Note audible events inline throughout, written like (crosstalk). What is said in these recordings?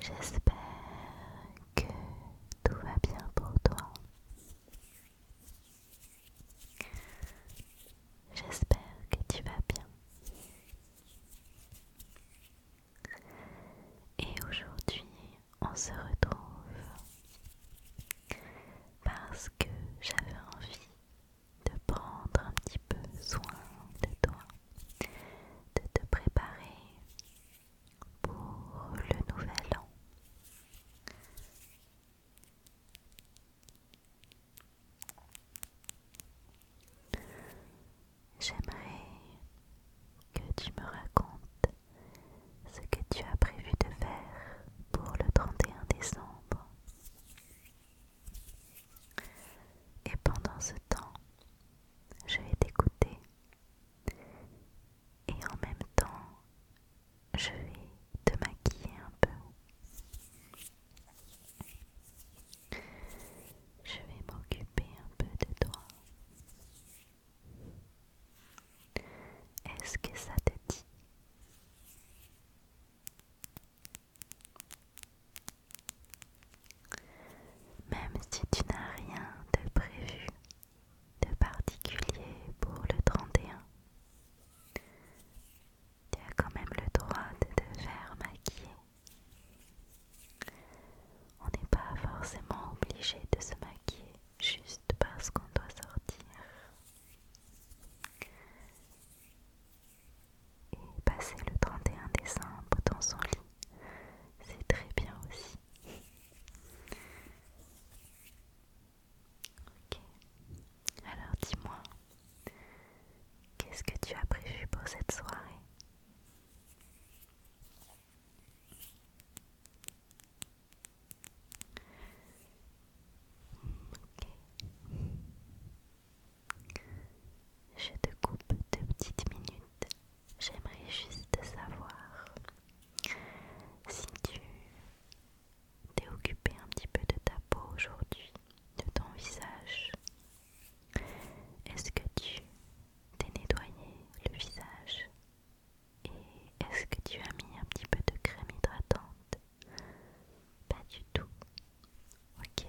J'espère que tout va bien pour toi. J'espère que tu vas bien. Et aujourd'hui, on se retrouve parce que j'avais envie de prendre un petit peu soin de toi, de te préparer pour le nouvel an. J'aimerais que tu me racontes ce que tu as prévu de faire pour le 31 décembre. Et pendant ce temps, je vais t'écouter. Et en même temps, je vais te maquiller un peu. Je vais m'occuper un peu de toi. Est-ce que ça te dit même si tu n'as rien de prévu de particulier pour le 31, tu as quand même le droit de te faire maquiller. On n'est pas forcément obligé de se maquiller juste parce qu'on doit sortir et passer le 31 décembre dans son lit, c'est très bien aussi. alors dis-moi, qu'est-ce que tu as prévu pour cette soirée je te coupe deux petites minutes. J'aimerais juste savoir si tu t'es occupé un petit peu de ta peau aujourd'hui, de ton visage. Est-ce que tu t'es nettoyé le visage et est-ce que tu as mis un petit peu de crème hydratante pas du tout. Ok.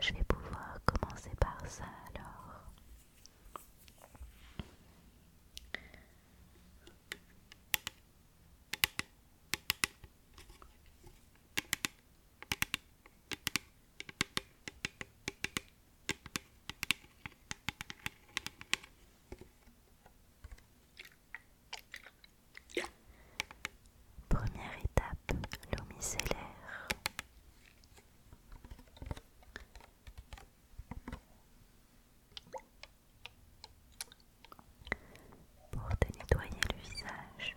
Je vais pouvoir commencer par ça alors. Première étape, l'eau micellaire. Pour te nettoyer le visage.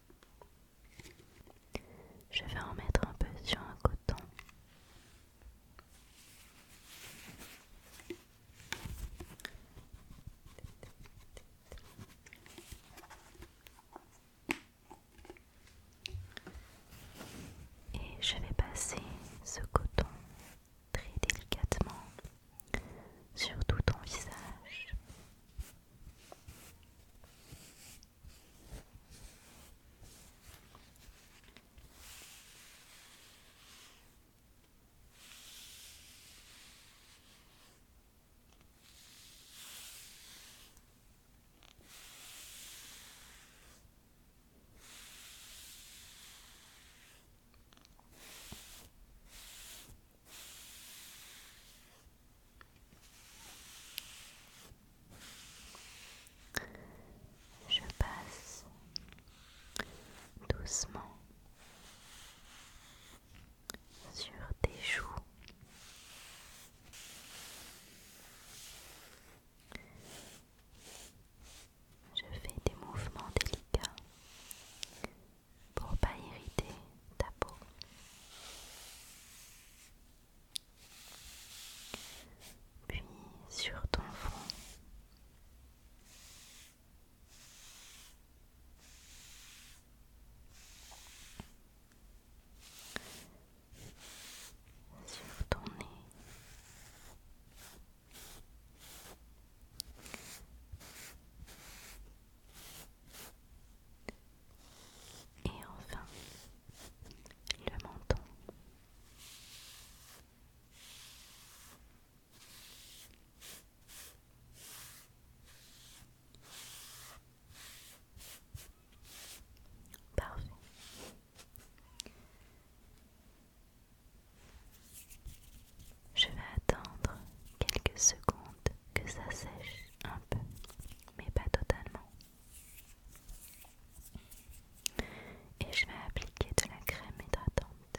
Je vais en mettre un peu sur un coton. Et je vais passer ce coton très délicatement sur tout ton visage. Je passe doucement sur tes joues. Je fais des mouvements délicats pour pas irriter ta peau. Puis sur ton front. Sur ton nez. Et enfin, le menton. Parfait. Je vais attendre quelques secondes que ça sèche un peu, mais pas totalement. Et je vais appliquer de la crème hydratante.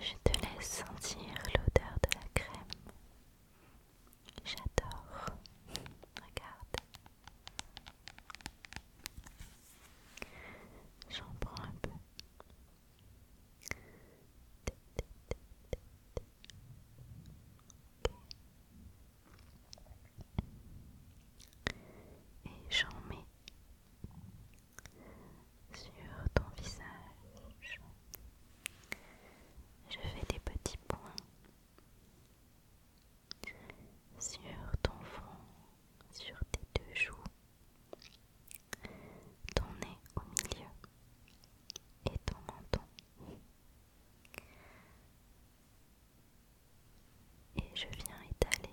Je te laisse sentir l'odeur de la crème. J'adore. Regarde. J'en prends un peu et j'en mets sur ton visage. Je fais des petits points sur ton front, sur tes deux joues, ton nez au milieu et ton menton et je viens étaler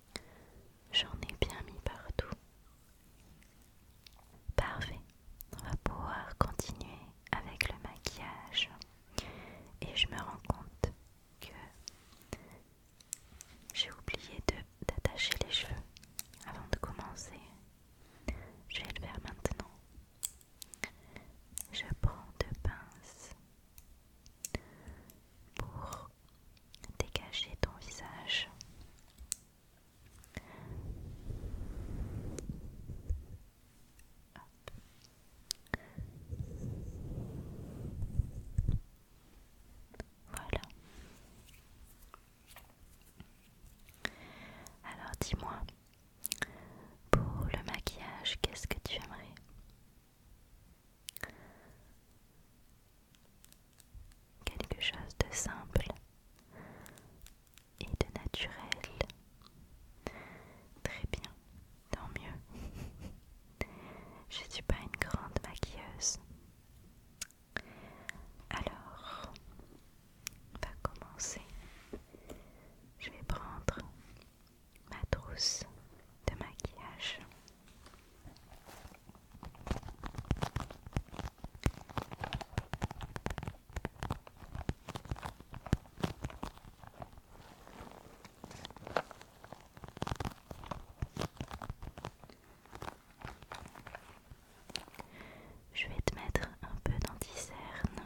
J'en ai bien mis partout. Parfait, on va pouvoir continuer avec le maquillage. Et je me rends compte que j'ai oublié d'attacher les cheveux avant de commencer. Je vais le faire maintenant. Je prends deux pinces pour dégager ton visage. Voilà. Alors dis-moi, pour le maquillage, qu'est-ce que tu aimerais Quelque chose de simple et de naturel. Très bien, tant mieux. Je ne suis pas une grande maquilleuse. Alors, on va commencer. Je vais prendre ma trousse de maquillage. Je vais te mettre un peu d'anticerne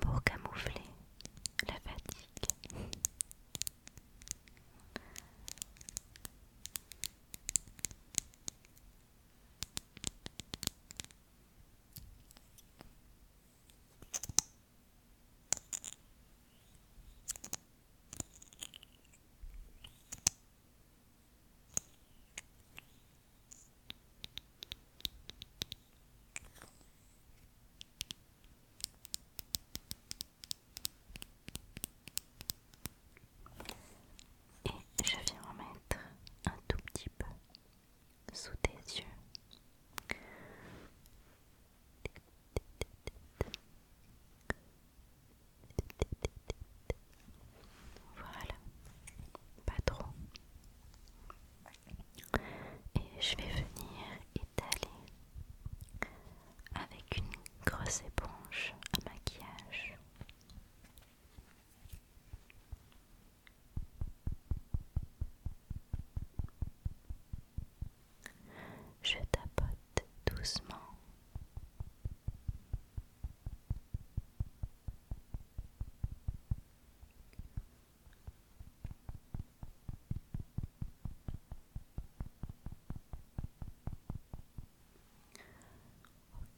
pour camoufler la fatigue. Et je viens en mettre un tout petit peu sous tes yeux voilà, pas trop. Et je vais venir étaler avec une grosse éponge à maquillage. Je tapote doucement.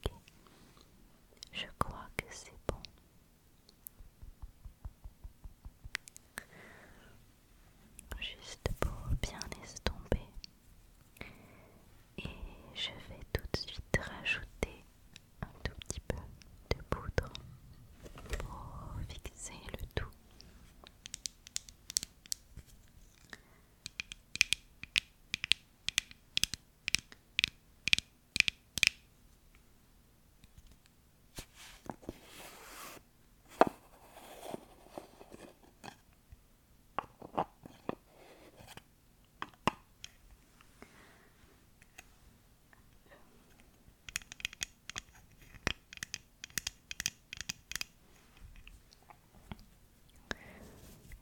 Ok, je crois que c'est bon juste pour bien estomper. Et je vais tout de suite rajouter un tout petit peu de poudre pour fixer le tout.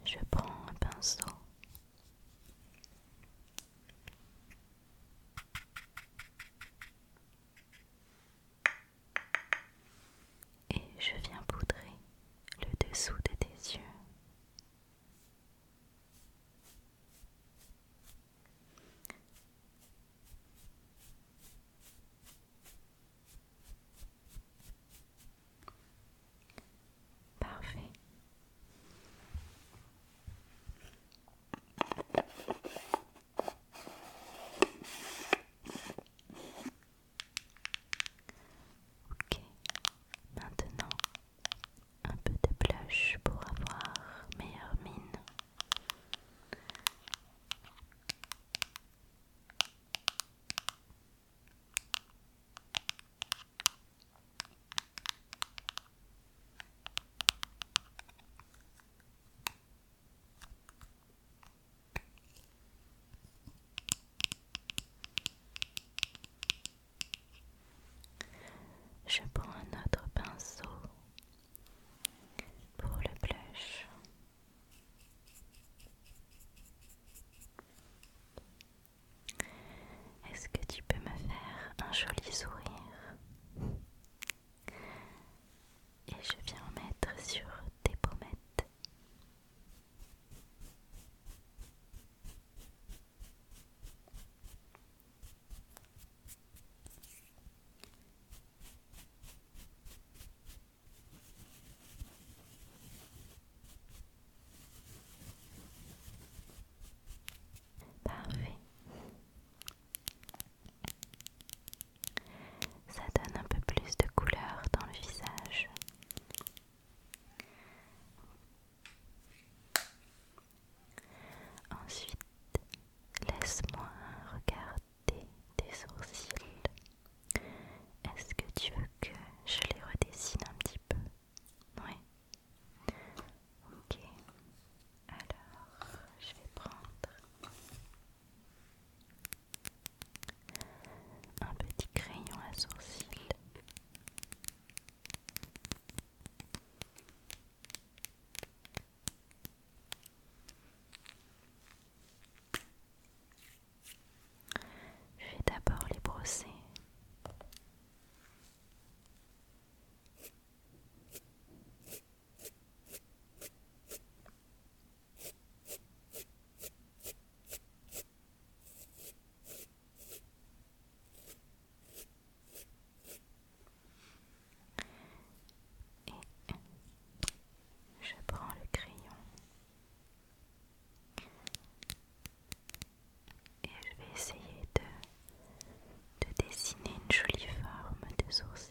Je prends un pinceau. Et je viens poudrer le dessous de tes yeux. Parfait. Ok, maintenant un peu de blush pour avoir meilleure mine. Je prends un autre pinceau pour le blush. Est-ce que tu peux me faire un joli sourire et je viens en mettre sur tes pommettes. Parfait. Ça donne un peu plus de couleur dans le visage. Ensuite, laisse-moi regarder tes sourcils. Est-ce que tu veux que je les redessine un petit peu Oui, Ok, alors je vais prendre un petit crayon à sourcils. Je vais d'abord les brosser je prends le crayon et je vais essayer de, dessiner une jolie forme de sourcils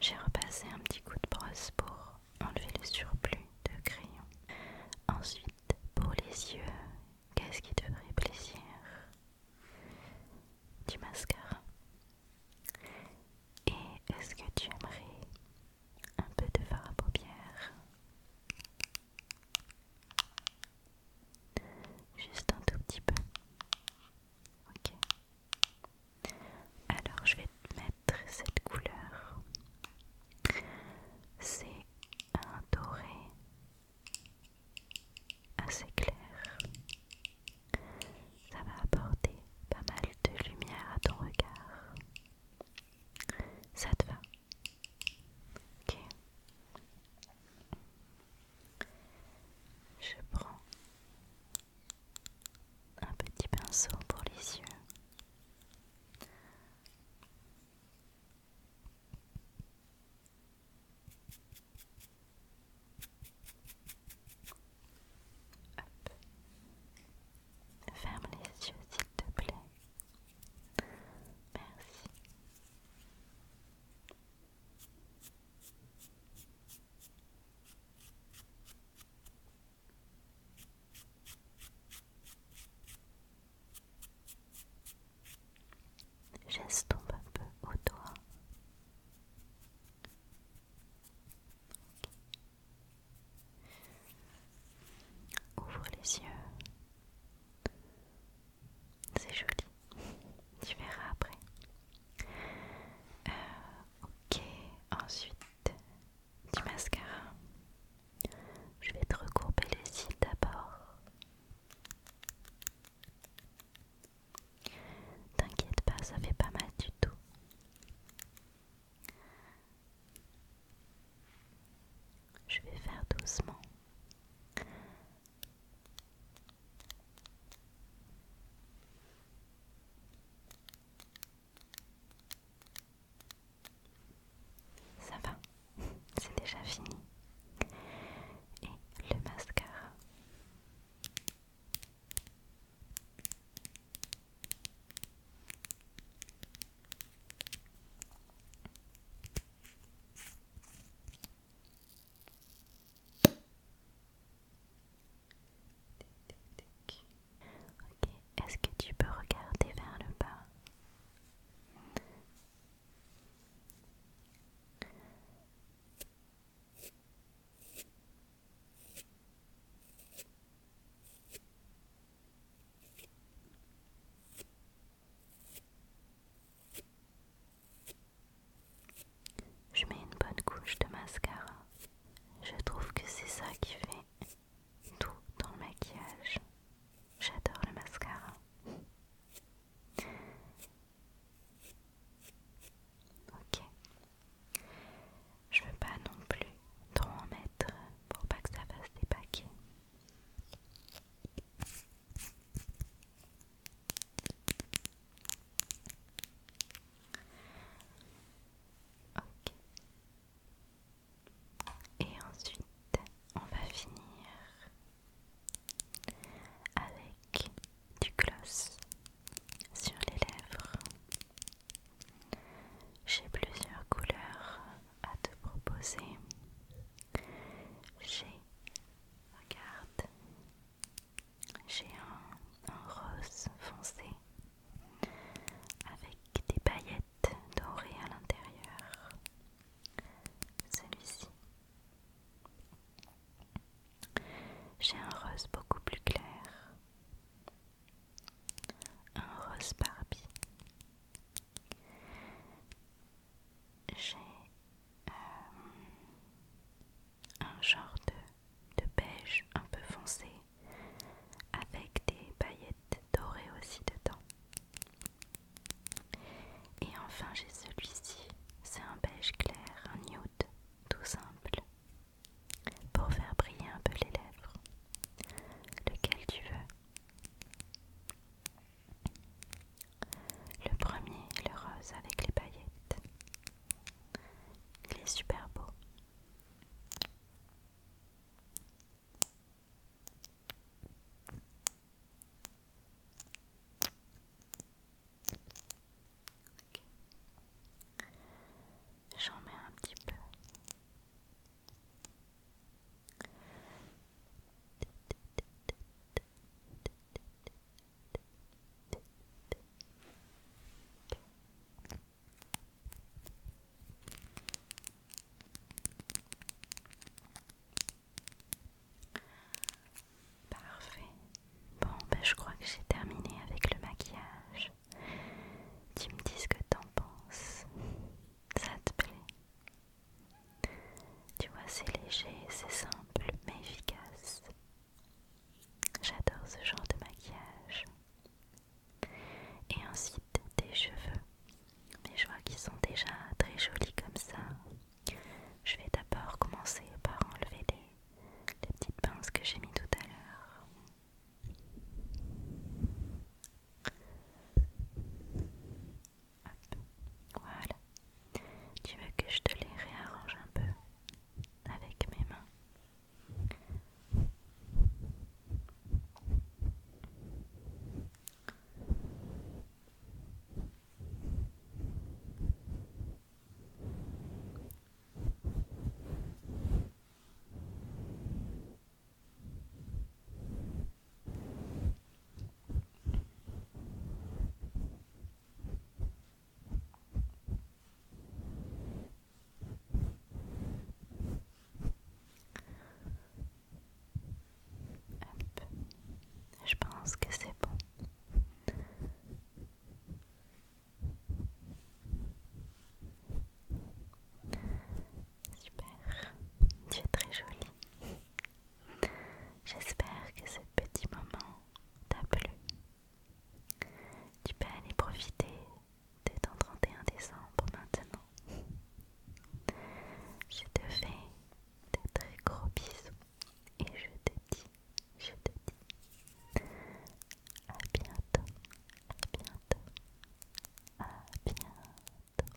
J'ai repassé un petit coup de brosse pour enlever le surplus de crayon. Ensuite, pour les yeux, qu'est-ce qui te ferait plaisir Du mascara. Et est-ce que tu aimerais un peu de fard à paupières Juste un tout petit peu. Ok. Alors je vais te mettre cette couleur. C'est un doré assez clair. Ça va apporter pas mal de lumière à ton regard. Ça te va Ok. Je prends un petit pinceau pour les yeux. Ferme les yeux s'il te plaît. Merci. J'estompe un peu au doigt. Ouvre les yeux. C'est joli. (laughs) Tu verras après. Euh, Ok, ensuite du mascara. Je vais te recourber les cils d'abord. T'inquiète pas, ça fait pas mal du tout. Je vais faire doucement. Ça va, (laughs) c'est déjà fini. Et le mascara. Ok, est-ce que tu peux regarder vers le bas je mets une bonne couche de mascara. Je trouve que c'est ça qui fait tout dans le maquillage. J'adore le mascara. Ok. Je veux pas non plus trop en mettre pour pas que ça fasse des paquets. Et ensuite, on va finir avec du gloss sur les lèvres. J'ai plusieurs couleurs à te proposer. J'ai, regarde, j'ai un, rose foncé avec des paillettes dorées à l'intérieur. Celui-ci. J'ai un rose beaucoup plus clair. Un rose Barbie. J'ai euh, un genre de, beige un peu foncé avec des paillettes dorées aussi dedans. Et enfin j'ai celui-ci, c'est un beige clair, un nude, tout simple, pour faire briller un peu les lèvres. Lequel tu veux le premier, le rose avec les paillettes. Il est super beau. J'en mets un petit peu. Parfait. Bon, ben je crois que j'ai terminé avec le maquillage. Tu me dis ce que t'en penses. Ça te plaît tu vois, c'est léger, c'est simple, mais efficace. J'adore ce genre de maquillage. Et ensuite, tes cheveux. Mais je vois qu'ils sont déjà très jolis comme ça. Je vais d'abord commencer par enlever les, les petites pinces que j'ai mis tout à l'heure. Voilà. Tu veux que je te les réarrange un peu avec mes mains je pense que c'est bon. Super, tu es très jolie. J'espère que ce petit moment t'a plu. Tu peux aller profiter de ton 31 décembre maintenant. Je te fais de très gros bisous et je te dis, je te dis à bientôt, à bientôt, à bientôt.